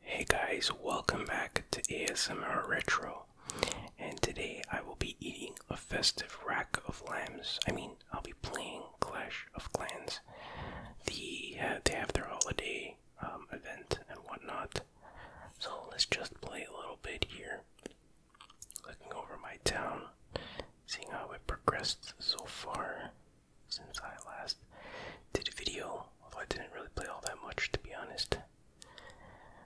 Hey guys, welcome back to ASMR Retro, and today I will be eating a festive rack of lambs. I mean, I'll be playing Clash of Clans. The they have their holiday um, event and whatnot, so let's just play a little bit here. Looking over my town, seeing how it progressed so far since I last did a video, although I didn't really play all that much to be honest.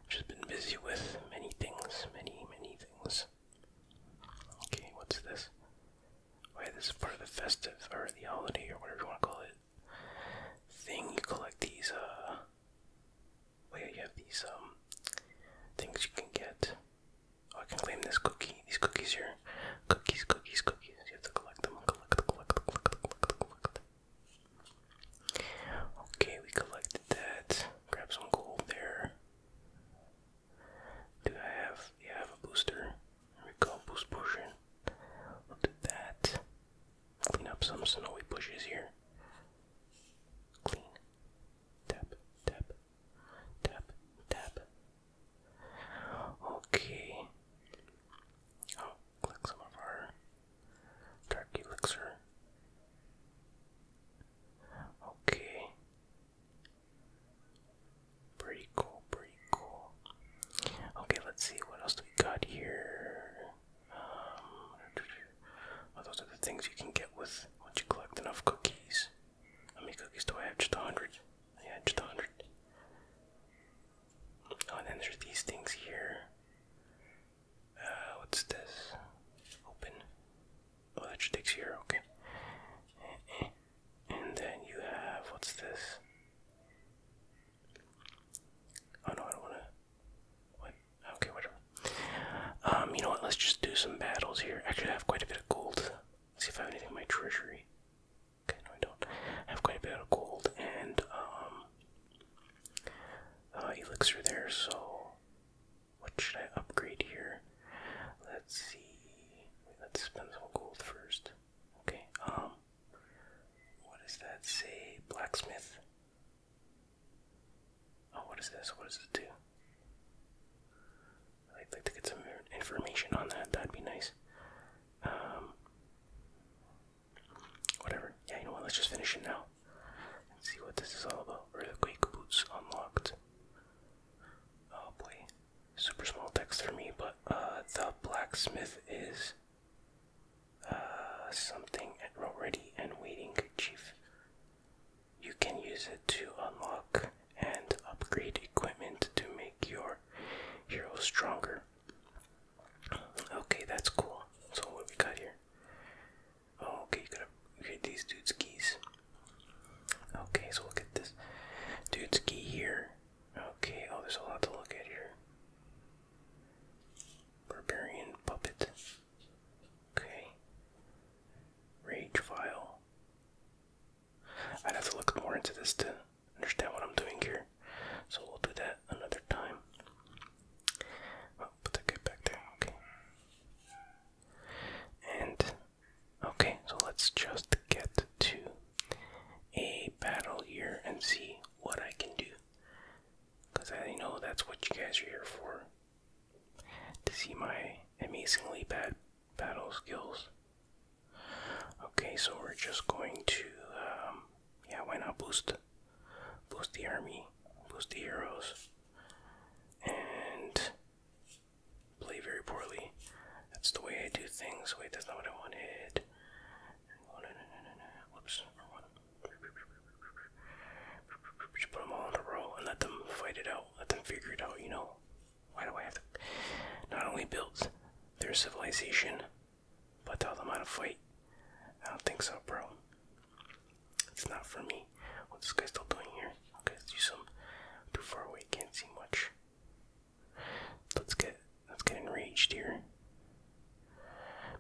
Just been busy with many things, many, many things. Okay, what's this? Why, this is part of the festive, or the holiday, or whatever you want to call it thing. You collect these, uh, well, you have these, um, things you can get. Oh, I can claim this cookie. These cookies here. Cookies, cookies, cookies. You have to collect them. Collect, collect, collect, collect, collect. Okay, we collected that. Grab some gold there. Do I have, yeah, I have a booster. There we go, boost potion. We'll that. Clean up some snowy bushes here. Clean. Tap, tap, tap, tap. Okay. Oh, click some of our dark elixir. Okay. Pretty cool, pretty cool. Okay, let's see what else do we got here. Um, oh, those are the things you can get with once you collect enough cookies. How many cookies do I have? Just a hundred. Yeah, just a hundred. Oh, and then there's these things here. Uh, what's this? Open. Oh, that just takes here. Okay. And then you have what's this? Oh no, I don't wanna. Wait, Okay, whatever. Um, you know what? Let's just do some battles here. Actually, I have quite a bit of gold. see if I have anything in my treasury. Okay, no, I don't. I have quite a bit of gold and um, uh, elixir there. So, what should I upgrade here? Let's see. Let's spend some gold first. Okay. Um, what does that say? Blacksmith. Oh, what is this? What does it do? I'd like to get some information on that. That'd be nice. Um, whatever. Yeah, you know what? Let's just finish it now and see what this is all about. Earthquake boots unlocked. Oh boy, super small text for me, but uh, the blacksmith is uh, something already and waiting chief. You can use it to unlock and upgrade equipment to make your hero stronger. Okay, that's cool. So what we got here? Oh, okay, you gotta get these dudes keys. Okay, so look at this dude's key here. Okay, oh, there's a lot to look at here. Barbarian Puppet. Okay. Rage File. I'd have to look more into this to understand what I'm doing here. So we'll do that another time. Oh, put that guy back there. Okay. And, okay, so let's just get to a battle here and see what I can do. Because I know that's what you guys are here for. To see my amazingly bad battle skills. Okay, so we're just going to, um, yeah, why not boost? Boost the army, boost the heroes, and play very poorly. That's the way I do things. Wait, that's not what I wanted. no, no, Whoops. One. put them all in a row and let them fight it out. Let them figure it out, you know? Why do I have to not only build their civilization, but tell them how to fight? I don't think so, bro. It's not for me. What's this guy still doing here? Okay, let's do some. Too far away, can't see much. Let's get let's get enraged here.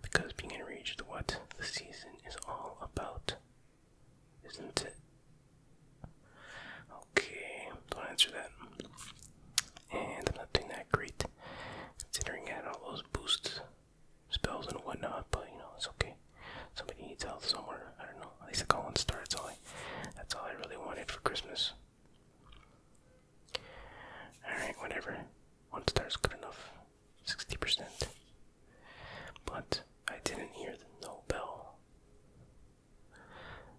Because being enraged what the season is all about. Isn't it? Okay, don't answer that. And I'm not doing that great. Considering I had all those boosts, spells and whatnot, but you know, it's okay. Somebody needs health somewhere. I don't know. At least I got one star, that's all I that's all I really wanted for Christmas. Alright, whatever. One star is good enough. 60%. But I didn't hear the Nobel.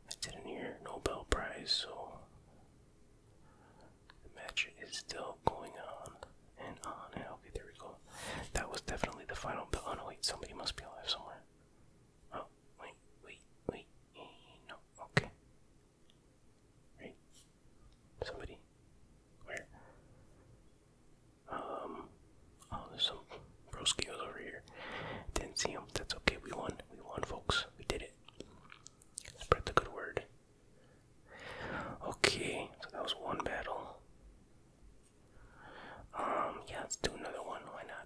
I didn't hear Nobel Prize, so the match is still going on and on. And okay, there we go. That was definitely the final bell. Oh no, wait, somebody must be alive somewhere. Oh, wait, wait, wait. No, okay. Right? Somebody? Where? Um. Oh, there's some broskios over here. Didn't see them. That's okay. We won. We won, folks. We did it. Spread the good word. Okay, so that was one battle. Um, yeah, let's do another one. Why not?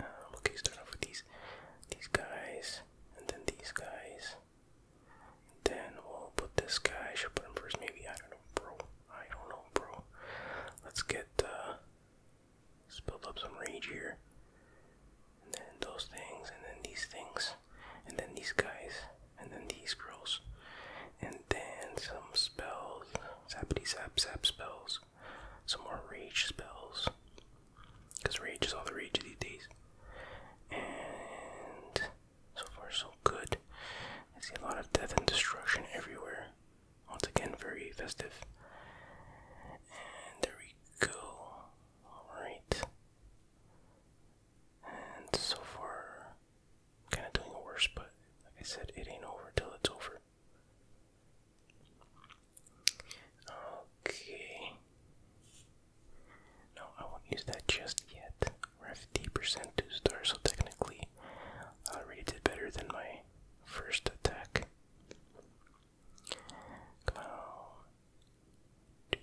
Uh, okay, start off with these these guys, and then these guys. then we'll put this guy. should put him first, maybe. I don't know, bro. I don't know, bro. Let's get uh, build up some rage here. And then those things, and then these things, and then these guys, and then these girls, and then some spells, zappity zap zap spells some more rage spells. Because rage is all the rage these days. And so far, so good. I see a lot of death and destruction everywhere. Once again, very festive. And there we go. Alright. And so far, kind of doing worse, but like I said, it ain't over till it's over. Okay. No, I won't use that just yet. 50% two stars, so technically I uh, already did better than my first attack. Come on.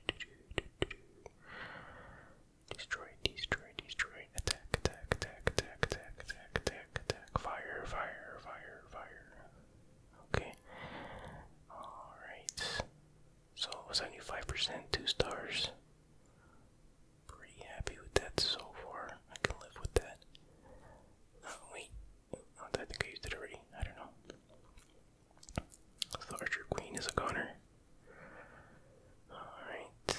Destroy, destroy, destroy. attack, attack, attack, attack, attack, attack attack, fire, fire, fire, fire. Okay. Alright. So, 75%, 2 stars. Pretty happy with that so far. I can live with that. Oh, wait. Oh, I think I used it already. I don't know. The Archer Queen is a goner. Alright.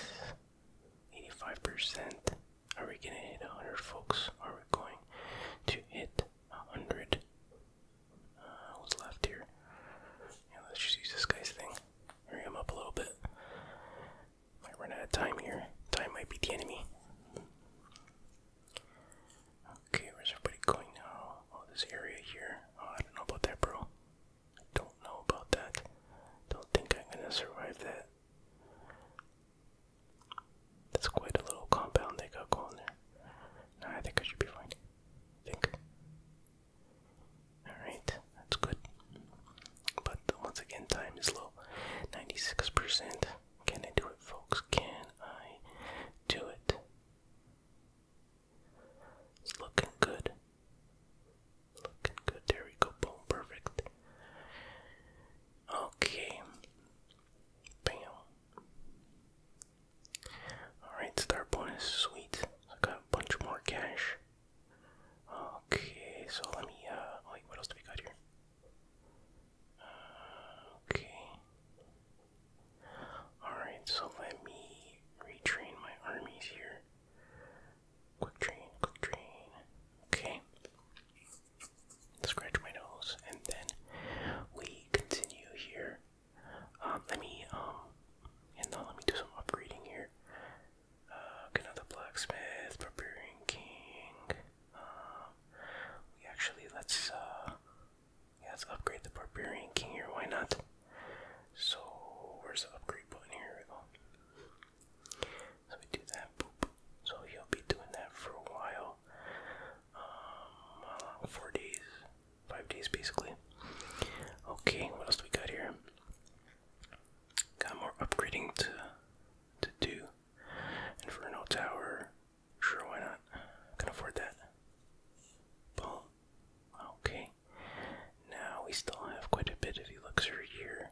85%. Are we gonna hit 100, folks? Are we going to hit 100? Uh, what's left here? Yeah, let's just use this guy's thing. Hurry him up a little bit. Might run out of time here. Time might be the enemy. Okay, where's everybody going now? Oh, this area here. Oh, I don't know about that, bro. I don't know about that. Don't think I'm gonna survive that. That's quite a little compound they got going there. I think I should be fine. I think. Alright, that's good. But once again, time is low. 96%. Can I do it, folks? Can I do it? It's looking good. Looking good. There we go. Perfect. Okay. Bam. Alright, star bonus. Sweet. I got a bunch more cash. Okay, so let me, uh, wait, what else do we got here? Uh, okay. Alright, so let me retrain my armies here. Quick train, quick train. Okay. Scratch my nose, and then we continue here. Um, let me um, and now let me do some upgrading here. Uh, another blacksmith, barbarian king. Um, we actually let's uh, let's upgrade the barbarian king here. Why not? So where's the upgrade button here? Oh. So we do that So he'll be doing that for a while. Um, uh, four days, five days basically. Okay, what else do we got here? Got more upgrading to to do. Inferno Tower. Sure, why not? Can afford that. Boom. Okay. Now we still have quite a bit of elixir here.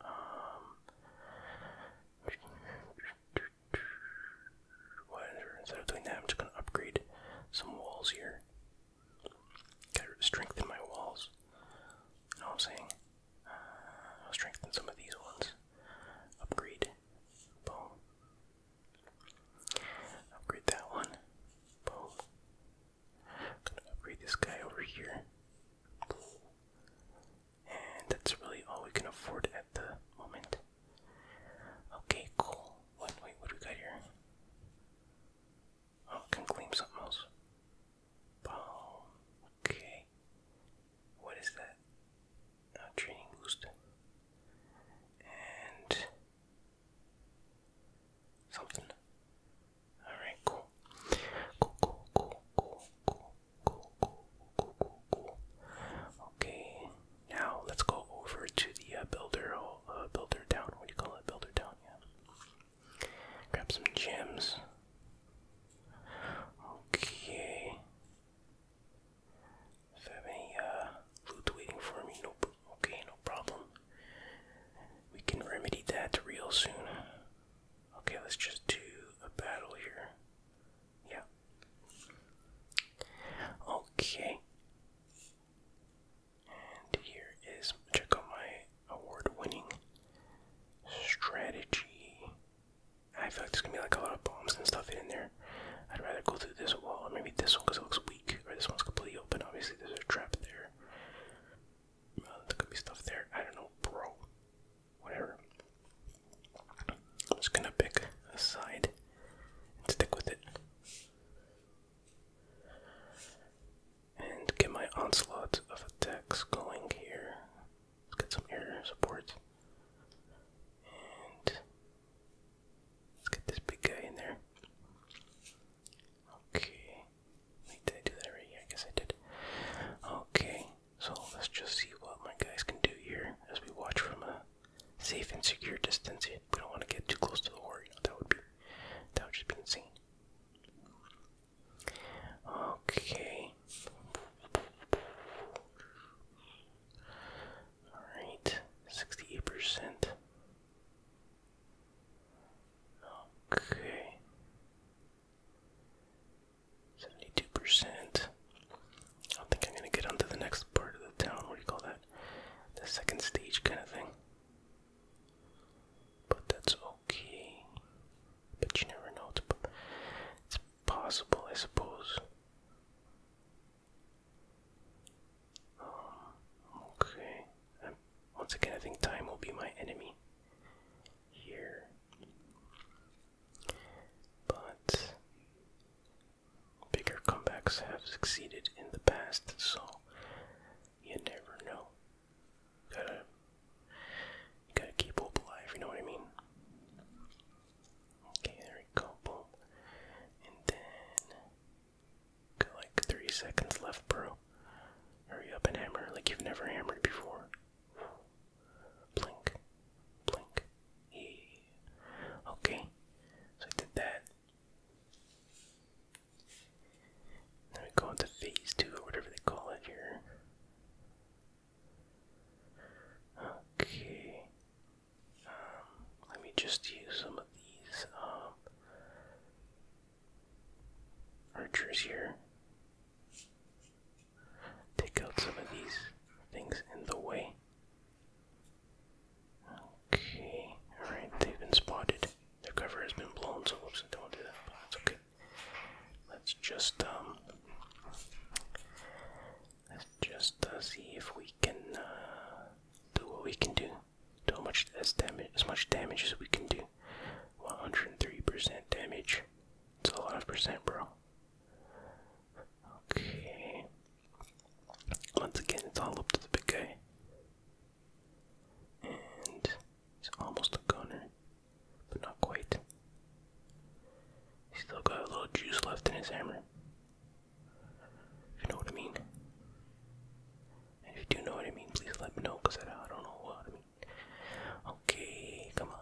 Um, instead of doing that, I'm just gonna upgrade some walls here. Gotta strengthen my walls. You know what I'm saying? Uh, I'll strengthen some of these walls. Upgrade. Boom. Upgrade that one. Boom upgrade this guy over here. And that's really all we can afford at the moment. Okay, cool. What, wait, what do we got here? Oh, can claim something else. Boom. Okay. What is that? training boost. And. Something. Alright, cool. Cool, cool, cool, cool, cool, cool, cool, cool, cool, cool. Okay, now let's go over to the uh, builder, uh, builder town. What do you call it? Builder town, yeah. Grab some gems. Okay. If I have any uh, loot waiting for me, nope. Okay, no problem. We can remedy that real soon. Okay, let's just do a battle here. Yeah. Okay. And here is check out my award winning strategy. I feel like there's gonna be like a lot of bombs and stuff in there. I'd rather go through this wall or maybe this one because it looks weak, or this one's completely open. Obviously, there's a trap there there could be stuff there. I don't know, bro. Whatever. I'm just gonna pick a side and stick with it. And get my onslaught of attacks going here. Let's get some air support. And let's get this big guy in there. Okay. did I do that already? Yeah, I guess I did. Okay, so let's just see what my guys can do here as we watch from a safe and secure distance. We don't want to get too close to the war, that would be that would just be insane. Okay. Alright, 68%. Okay. Seventy-two percent. I think I'm gonna get onto the next part of the town. What do you call that? The second stage kind of thing. But that's okay. But you never know. It's, it's possible, I suppose. Okay. Um, once again, I think time will be my enemy here. But bigger comebacks have succeeded in the past, so you never know. gotta, gotta keep hope alive. You know what I mean? Okay, there we go. And then like three seconds left, bro. Hurry up and hammer like you've never hammered before. Blink, blink. Yeah. Okay, so I did that. Then we go into phase two or whatever they call it here. Okay. Um, let me just use some of these um, archers here. Take out some of these things in the way. Okay, alright, they've been spotted. Their cover has been blown, so oops, I don't want to do that, but that's okay. Let's just, um, let's just uh, see if we can uh, do what we can do do much as damage as much damage as we can do. 103% damage. It's a lot of percent, bro. Okay. Once again, it's all up to the big guy. And he's almost a gunner, but not quite. He's still got a little juice left in his hammer you know what I mean. if you do know what I mean, please let me know, because I, don't know what I mean. Okay, come on.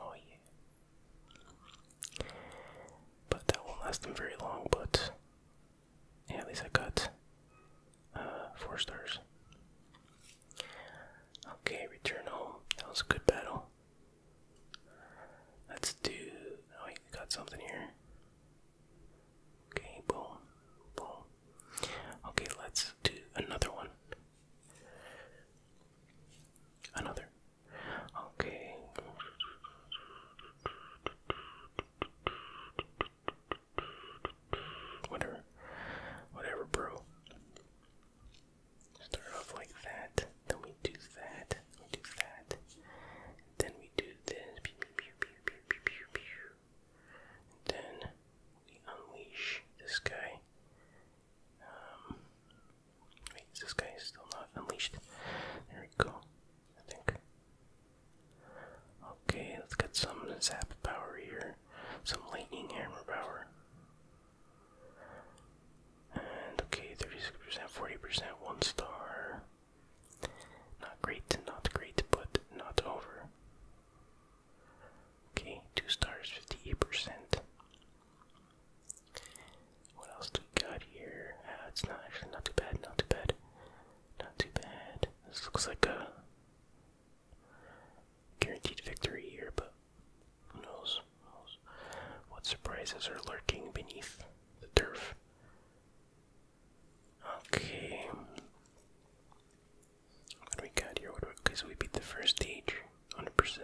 Oh, yeah. But that won't last them very long, but at least I got uh, four stars. Okay, return home. That was a good battle. Let's do. Oh, wait, got something here. Okay, boom, boom. Okay, let's do another one. Another. Okay. Whatever. Whatever, bro. Start off like that. Then we do that. We do that. Then we do this. Then we unleash this guy. Um, wait, this guy still not unleashed? There we go. I think. Okay, let's get some zap power here, some lightning hammer power. And okay, 36%, 40%, one star. Not great, not great, but not over. Okay, two stars, 58%. What else do we got here? Uh, it's not actually not too bad, not too bad, not too bad. This looks like a guaranteed victory here, but who knows? Who knows? what surprises are lurking beneath the turf. Okay. What do we got here? okay, so we beat the first stage, 100%.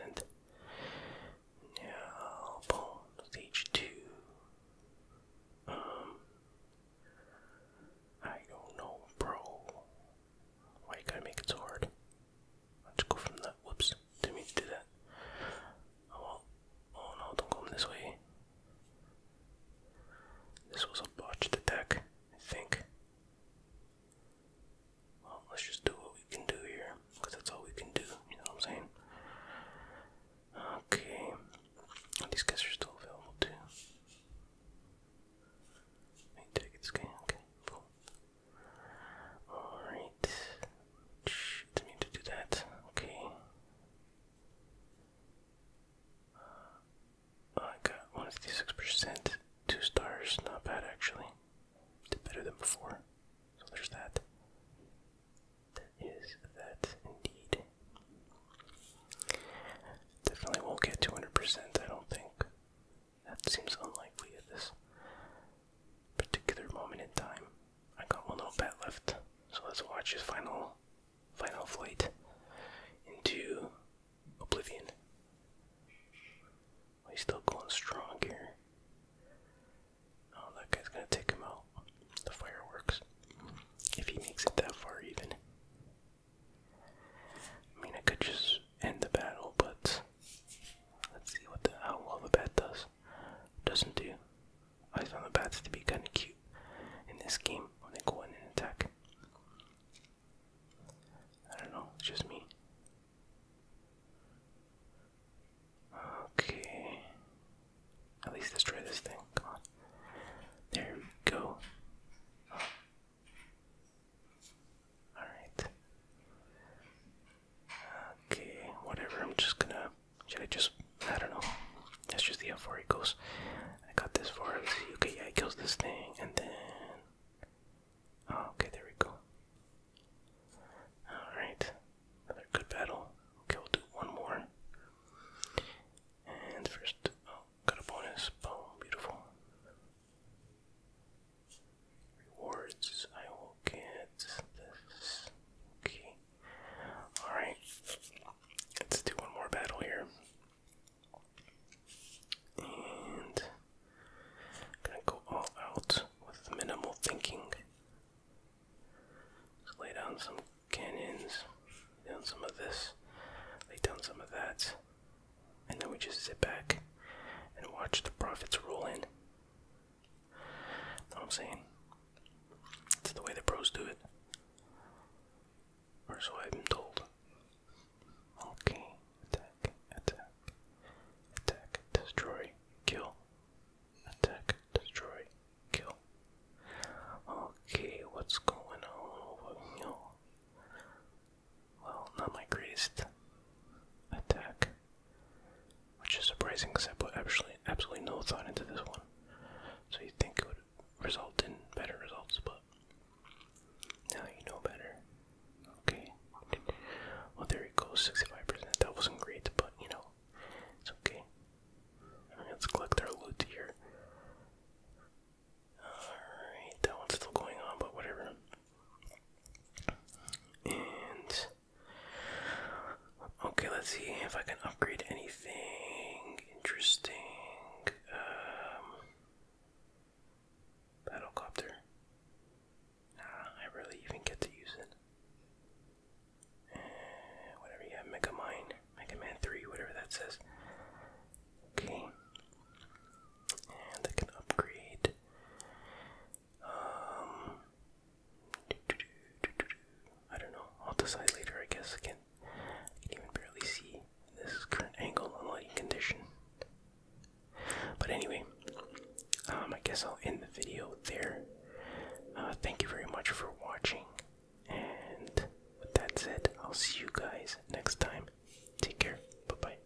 Now, stage 2. Um, I don't know, bro. Why you gotta make it hard? Let's go from that. Whoops, didn't mean to do that. Oh, oh no, don't come this way. This was a botched attack, I think. Well, let's just do what we can do here, because that's all we can do, you know what I'm saying? Okay. These guys are still available too. Let me take this guy, okay, cool. Alright. did to do that. Okay. Uh, I got 156%. Two stars. Not bad, actually. Did better than before. So there's that. That is that, indeed. Definitely won't get 200%, I don't think. That seems unlikely at this particular moment in time. I got one little bat left, so let's watch his final, final flight into oblivion. he's still going strong here. Oh, that guy's gonna take him out. The fireworks. If he makes it that far, even. I mean, I could just end the battle, but let's see what the how well the bat does doesn't do. I found the bats to be kinda cute in this game when they go in and attack. I don't know, it's just me. Okay. At least destroy this thing. Come on. There we go. Alright. Okay, whatever. I'm just gonna. Should I just? I don't know. That's just the how far it goes. I got this far. Okay, yeah, it kills this thing, and then. Oh, okay, there we go. Alright. Another good battle. Okay, we'll do one more. And first. Oh, got a bonus. Boom, beautiful rewards I will get this. Okay. Alright. Let's do one more battle here. And gonna go all out with minimal thinking. Just lay down some cannons, lay down some of this, lay down some of that, and then we just sit back and watch the profits roll in. Know I'm saying? It's the way the pros do it. Or so I've been told. Okay. Attack, attack, attack, destroy, kill. Attack, destroy, kill. Okay, what's going on over here? Well, not my greatest attack, which is surprising because I put absolutely no thought into this one. So you think it would result in better results, but now you know better. Okay. Well, there it goes 65%. That wasn't great, but you know, it's okay. let's collect our loot here. Alright, that one's still going on, but whatever. And okay, let's see if I can upgrade anything interesting. Um, battlecopter. Nah, I really even get to use it. whatever you have, Mega Mine, Mega Man 3, whatever that says. Okay. And I can upgrade um, I don't know. I'll decide later. I guess I can. I even barely see this current angle and lighting condition. But anyway, um, I guess I'll end the video there. Uh, thank you very much for watching, and with that said, I'll see you guys next time. Take care. Bye bye.